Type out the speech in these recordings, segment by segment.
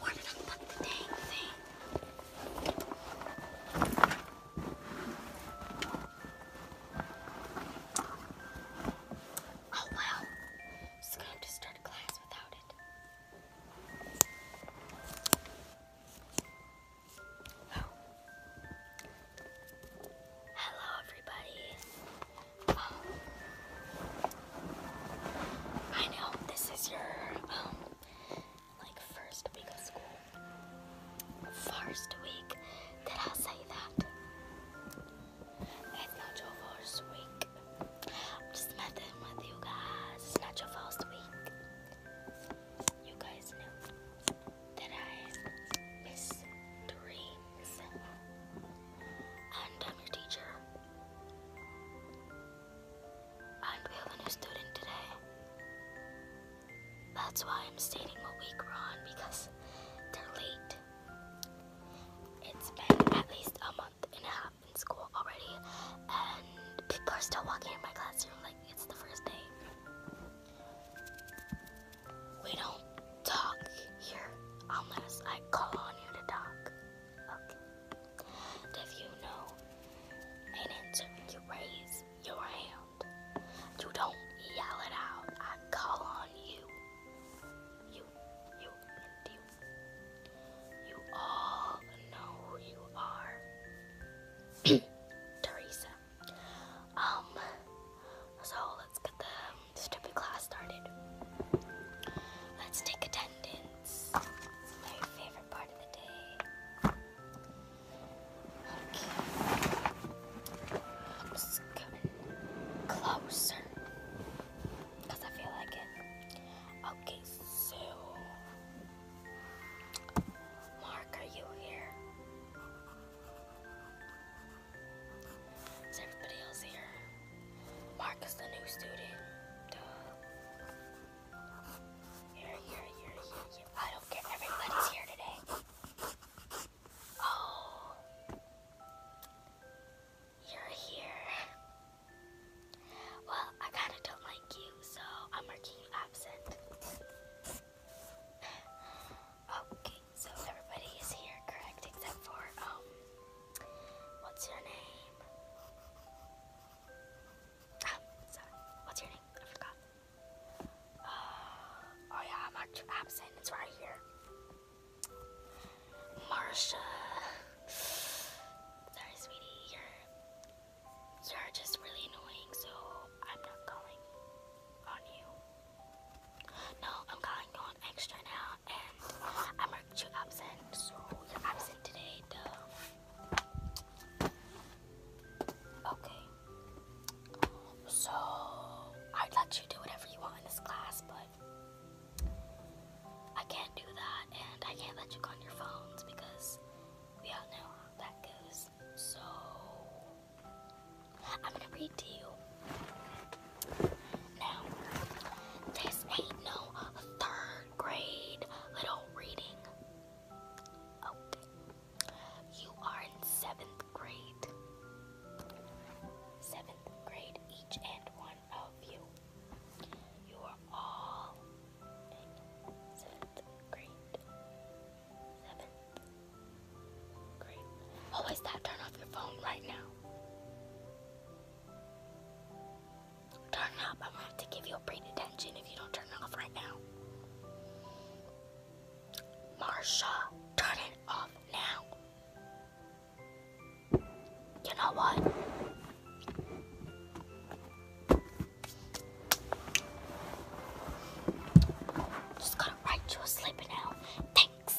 Where did I put the dang thing? Oh well, it's gonna have to start a class without it. Well. Oh. Hello, everybody. I know this is your um like first week of school. First week. Did I say that? It's not your first week. I'm just with you guys. It's not your first week. You guys know that I miss three and I'm your teacher. And we have a student today. That's why I'm stating what week we because they're late. It's been at least a month and a half in school already, and people are still walking in my classroom like it's the first day. We don't talk here unless I call on you to talk. Okay. if you know and answer, you raise your hand. You don't yell it out. I call on you. You, you, you. You all know who you are. Teresa. Um, so let's get the stupid class started. Let's take attendance. my favorite part of the day. Okay. I'm just closer. Because I feel like it. Okay, so. Mark, are you here? Is everybody else here? Mark is the new student. Duh. Here, here, here, here, here. I don't care. Everybody's here today. Oh. You're here. Well, I kind of don't like you, so I'm marking you absent. Okay, so everybody is here correct except for um what's your name? Ah, what's your name? I forgot. Uh, oh yeah, I'm actually absent. It's right here. Marsha. Sorry, sweetie. You're, you're just really annoying, so I'm not going. No, I'm calling you on extra now, and I marked you absent, so you're absent today, duh. Okay. So, I'd let you do whatever you want in this class, but I can't do that, and I can't let you on your phones because we all know how that goes. So, I'm gonna read to you. Now, this ain't no third grade little reading. Okay. You are in seventh grade. Seventh grade, each and one of you. You are all seventh grade. Seven. Great. that? Turn off your phone right now. Turn up. I'm gonna have to give you a brain attention if you don't turn off right now. Marsha, turn it off now. You know what? Just gotta write you a sleeper now. Thanks.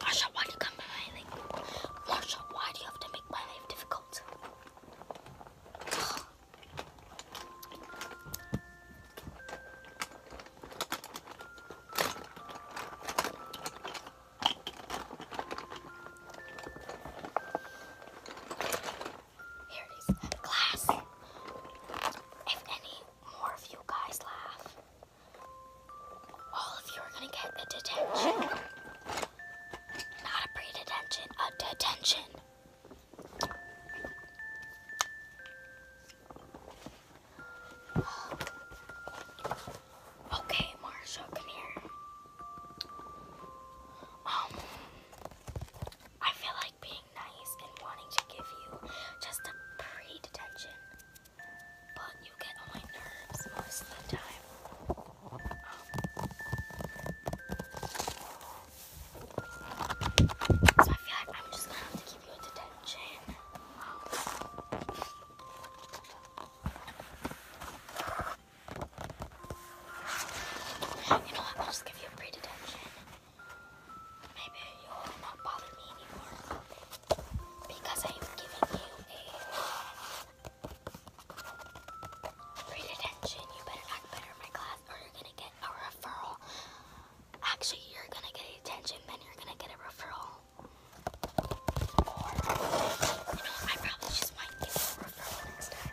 Marsha, why do you come to my life? Marsha, why do you have to make my life difficult? Here Class, if any more of you guys laugh, all of you are going to get a detention. Not a pre-detention, a detention. Okay, Marsha, come here. Um, I feel like being nice and wanting to give you just a pretty detention, but you get on my nerves most of the time. so I feel like I'm just gonna have to give you a detention. you know what? I'll just give you a pre-detention. Maybe you will not bother me anymore because I have given you a great attention. You better act better in my class, or you're gonna get a referral. Actually, you're gonna get attention, then you're gonna get a referral. I probably just might give a referral next time.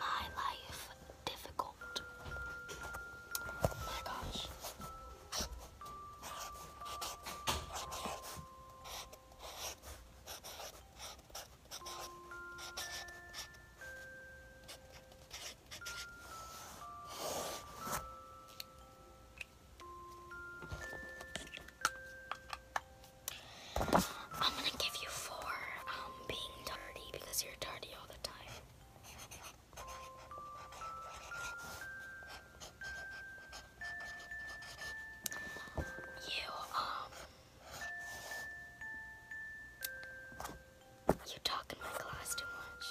my life difficult. my gosh. I'm gonna give you four um, being dirty because you're dirty all the time. You um you talk in my class too much.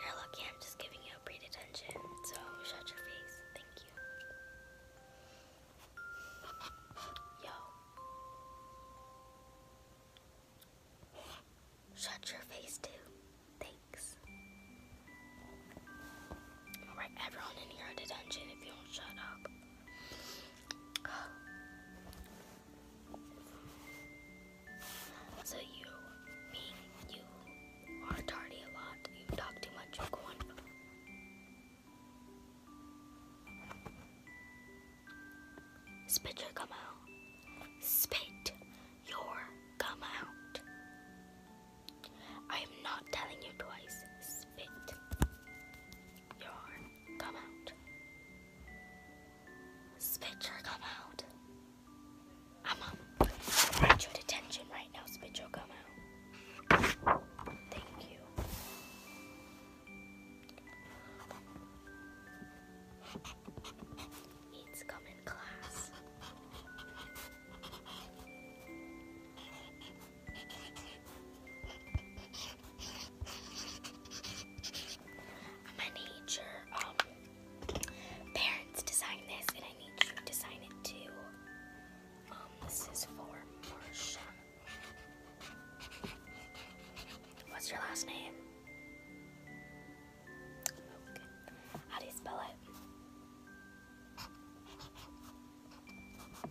You're lucky I'm just giving you a breed attention, so shut your face. Thank you. Yo. Shut your face too. Thanks. Alright, everyone in here at attention if you don't shut up. So you mean you are tardy a lot. You talk too much. go on. Spit your gum out. Spit your gum out. I am not telling you twice. Spit yarn come out. Spitcher come out. I'm on detention right now, Spitcher come out. Thank you. It's coming in class. I'm um, parents to this, and I need you to sign it too. Um, this is for Marsha. What's your last name? How do you spell it?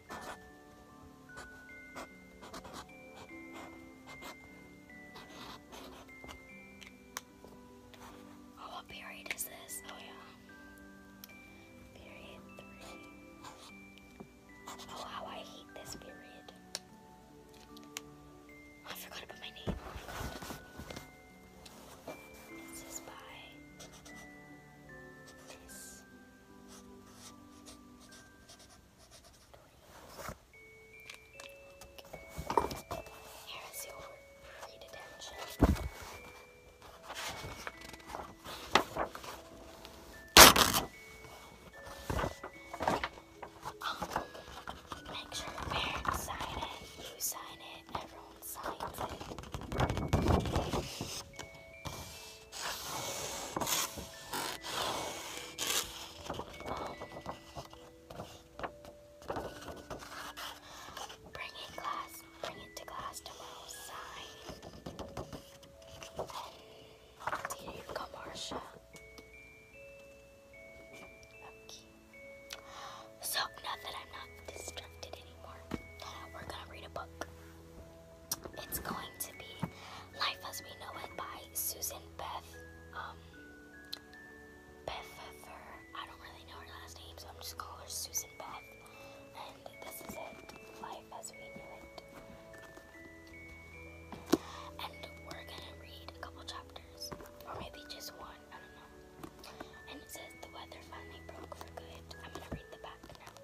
Oh, what period is this? Oh, yeah. Period three. Oh, how I hate this period. Oh, I forgot about my name. Oh, this is by this. Here is your free detention. Um, make sure parents sign it, you sign it, everyone signs it. Bring it glass, bring it to class tomorrow, sign. Then to you Okay. So now that I'm not distracted anymore, we're gonna read a book it's going to be Life as We Know It by Susan Beth. Um, Bethfer. I don't really know her last name, so I'm just calling her Susan Beth. And this is it Life as We Knew It. And we're gonna read a couple chapters, or maybe just one, I don't know. And it says the weather finally broke for good. I'm gonna read the back now.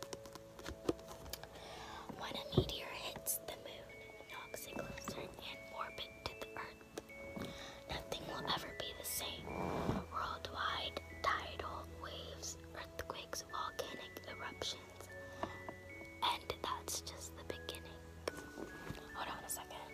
When a meteor hits the moon, it knocks it closer and orbit to the earth. Nothing will ever be the same. Worldwide tidal waves, earthquakes, volcanic eruptions. And that's just the beginning. Hold on a second.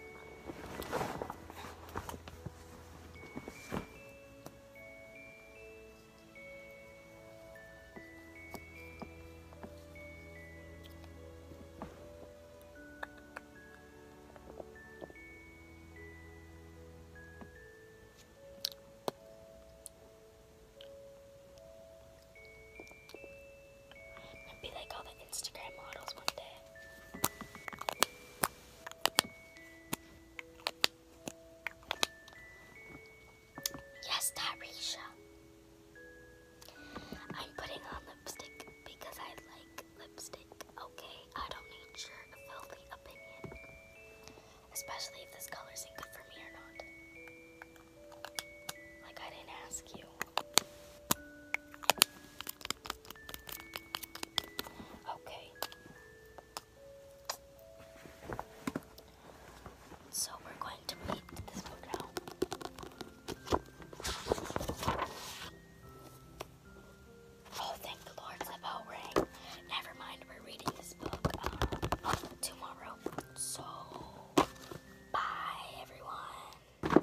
I'd be like all the Instagram models one day. Yes, Tarisha. I'm putting on lipstick because I like lipstick, okay? I don't need your filthy opinion. Especially if this color is good for me or not. Like, I didn't ask you. Okay. So we're going to read this book now. Oh, thank the Lord, the bell rang. Never mind, we're reading this book um, tomorrow. So, bye everyone.